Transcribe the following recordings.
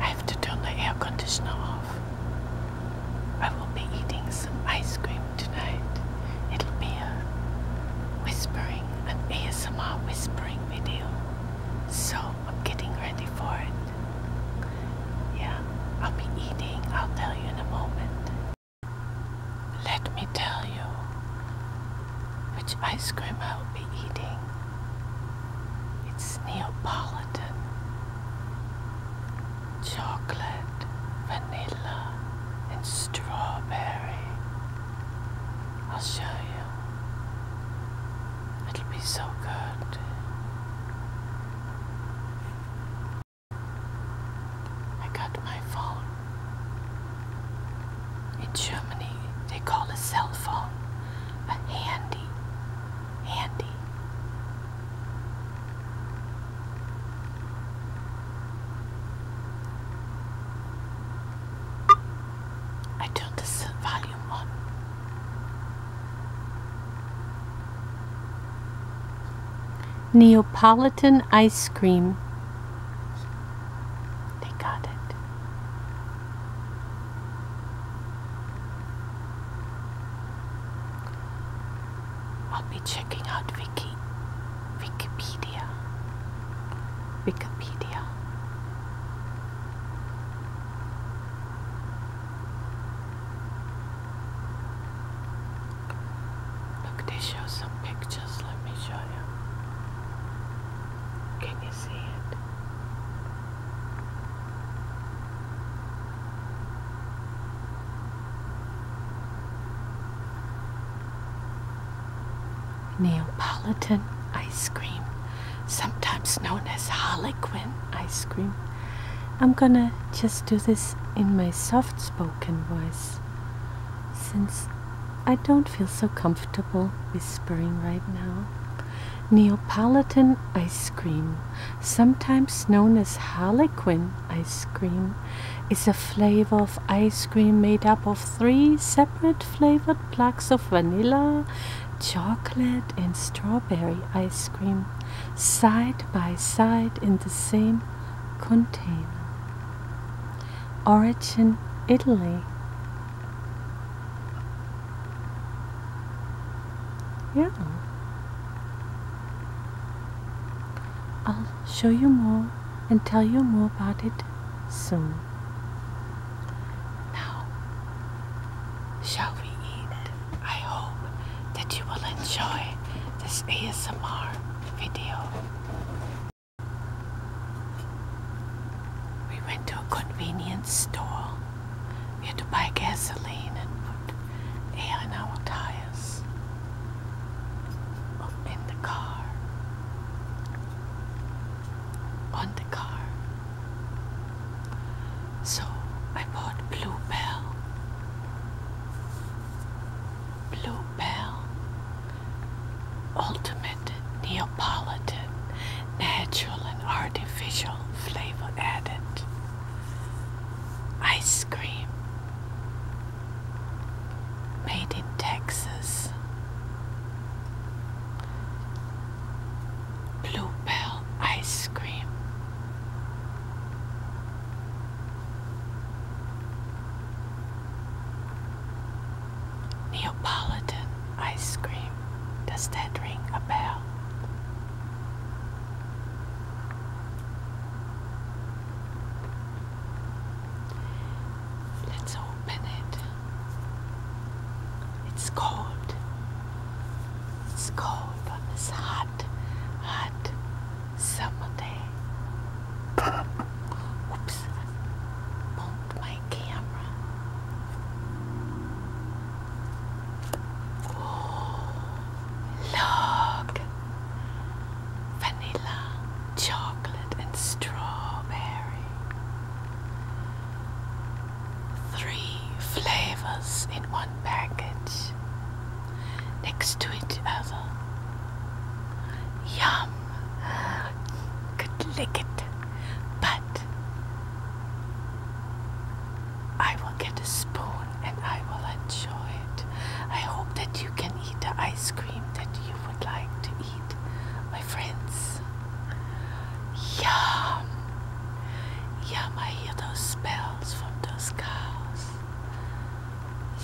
I have to turn the air conditioner off. I will be eating some ice cream tonight. It'll be a whispering, an ASMR whispering video. So I'm getting ready for it. Yeah, I'll be eating. I'll tell you in a moment. Let me tell you which ice cream I will be eating. It's Neapolitan, chocolate, vanilla, and strawberry. I'll show you. It'll be so good. I got my phone in Germany, they call a cell phone a handy, handy. I turned the volume on. Neapolitan ice cream they got it. I'll be checking out Vicky, Wikipedia, Wikipedia. Look, they show some pictures. Just let me show you. Can you see it? Neapolitan ice cream, sometimes known as Harlequin ice cream. I'm gonna just do this in my soft spoken voice since I don't feel so comfortable whispering right now. Neapolitan ice cream, sometimes known as Harlequin ice cream, is a flavor of ice cream made up of three separate flavored blocks of vanilla, chocolate, and strawberry ice cream, side by side in the same container origin Italy. Yeah. I'll show you more and tell you more about it soon. Now, shall we eat? I hope that you will enjoy this ASMR video. We went to a convenience store. We had to buy gasoline and put air in our tires oh, in the car. On the car. So I bought Bluebell. Blue Bell, ultimate Neapolitan, natural and artificial flavor added. Ice cream, made in Texas. Bluebell ice cream. Neapolitan ice cream. Does that ring a bell? Let's open it. It's cold. It's cold on this hot, hot someday. Oops, bumped my camera. Oh, look, vanilla, chocolate, and strawberry. Three flavors in one package next to each other. Yum! Could lick it, but I will get a spoon and I will enjoy it. I hope that you can eat the ice cream that you would like to eat, my friends. Yum! Yum, I hear those bells from those cows.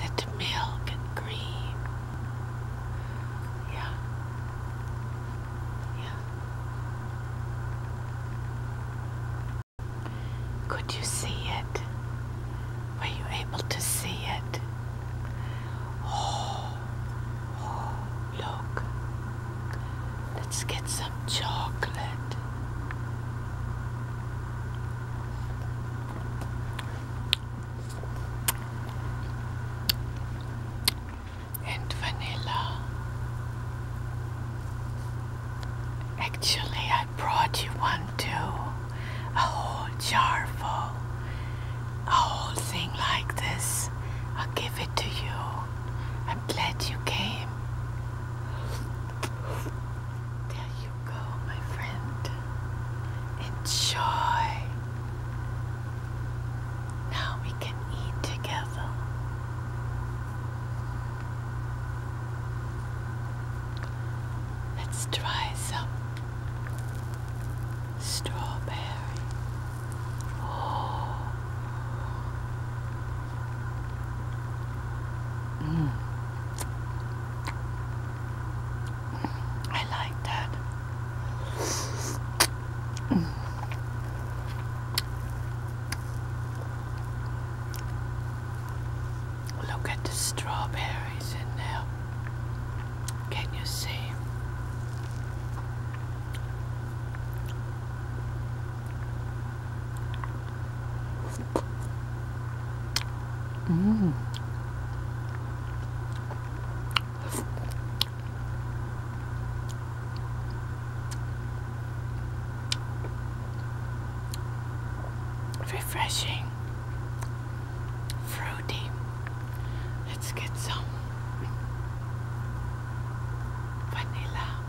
That milk and cream? Yeah. Yeah. Could you see it? Were you able to see it? Oh, oh, look. Let's get some chocolate and vanilla. Actually, I brought you one too, a whole jar full, a whole thing like this. I'll give it to you. I'm glad you came. There you go, my friend. Enjoy. Now we can eat together. Let's try some strawberry. Oh. Mm. I like that. Look at the strawberries in there. Can you see? Mm. Refreshing, fruity. Let's get some vanilla.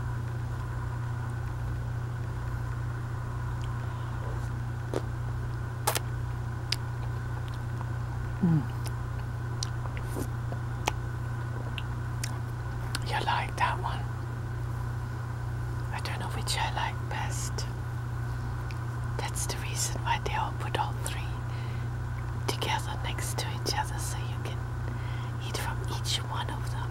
Mm. You like that one? I don't know which I like best. That's the reason why they all put all three together next to each other so you can eat from each one of them.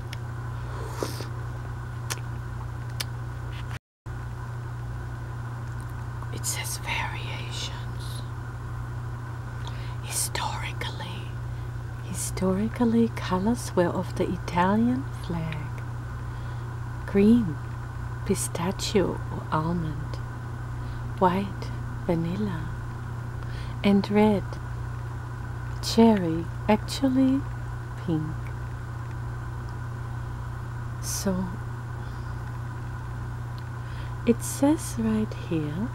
It says variations. Historically, historically, colors were of the Italian flag green, pistachio or almond, white, vanilla, and red, cherry actually pink so it says right here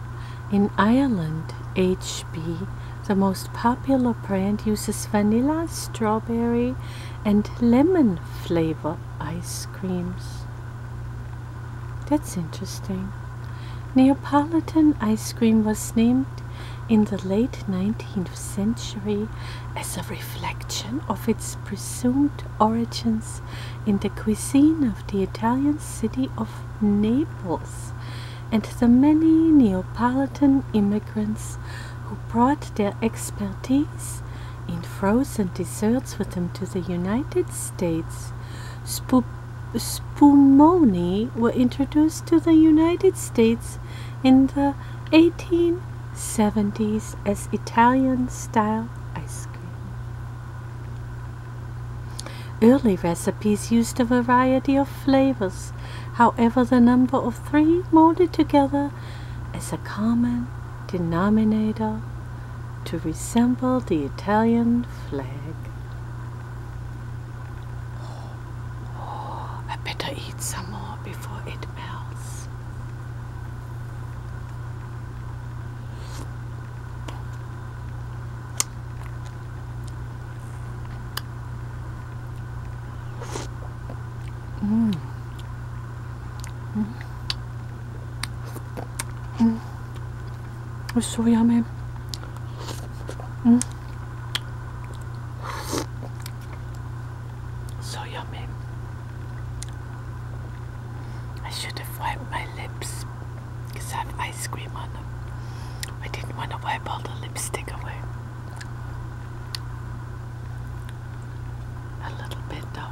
in Ireland HB the most popular brand uses vanilla strawberry and lemon flavor ice creams that's interesting Neapolitan ice cream was named in the late 19th century as a reflection of its presumed origins in the cuisine of the Italian city of Naples and the many Neapolitan immigrants who brought their expertise in frozen desserts with them to the United States. Spoop spumoni were introduced to the United States in the 1870s as Italian style ice cream. Early recipes used a variety of flavors, however, the number of three molded together as a common denominator to resemble the Italian flag. I better eat some more before it melts. Mm. Mm. Mm. It so yummy. So yummy. I should have wiped my lips because I have ice cream on them. I didn't want to wipe all the lipstick away. A little bit though.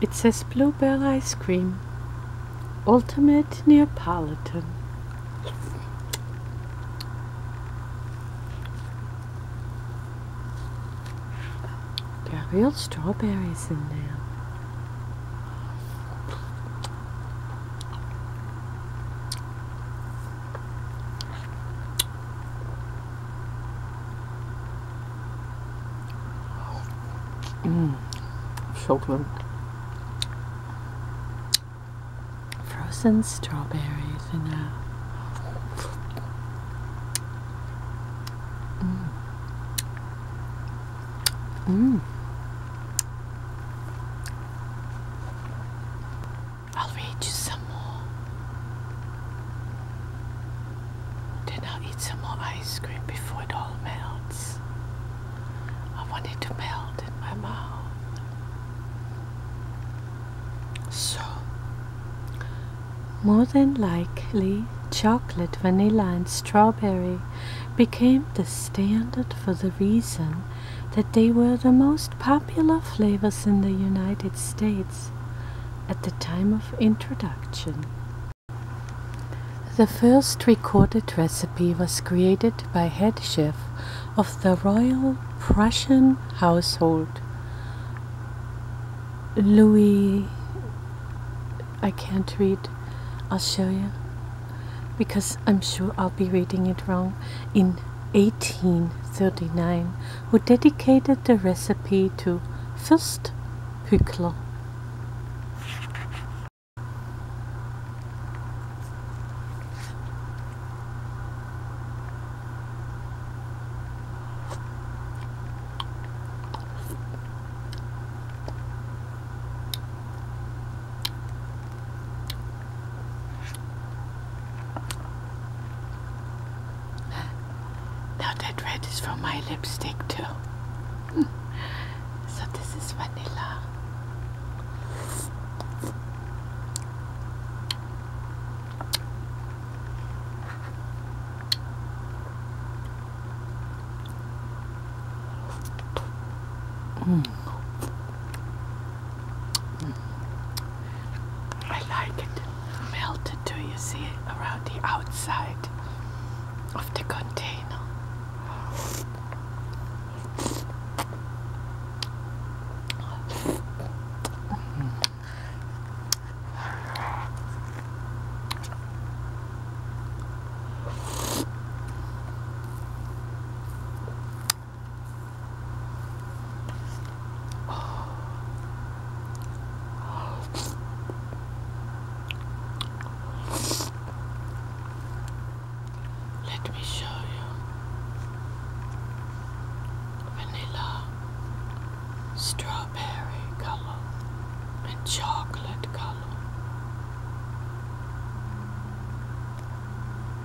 It says bluebell ice cream, ultimate Neapolitan. There are real strawberries in there. Mm, chocolate. Frozen strawberries in there. Mm. mm. I'll read you some more. Then I'll eat some more ice cream before it all melts. I want it to melt in my mouth. So, more than likely, chocolate, vanilla, and strawberry became the standard for the reason that they were the most popular flavors in the United States at the time of introduction. The first recorded recipe was created by head chef of the Royal Prussian household, Louis. I can't read. I'll show you because I'm sure I'll be reading it wrong. In 1839 who dedicated the recipe to Fürst Hückler. Now that red is from my lipstick too. so this is vanilla. Mm. I like it melted too, you see, around the outside of the container. Let me show you vanilla, strawberry color, and chocolate color.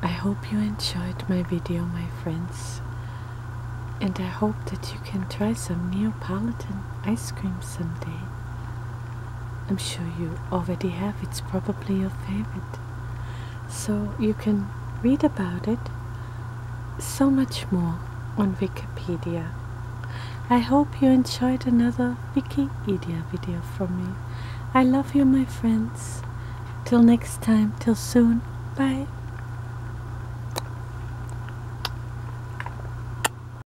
I hope you enjoyed my video, my friends. And I hope that you can try some Neapolitan ice cream someday. I'm sure you already have, it's probably your favorite. So you can read about it so much more on Wikipedia. I hope you enjoyed another Wikipedia video from me. I love you, my friends. Till next time, till soon. Bye.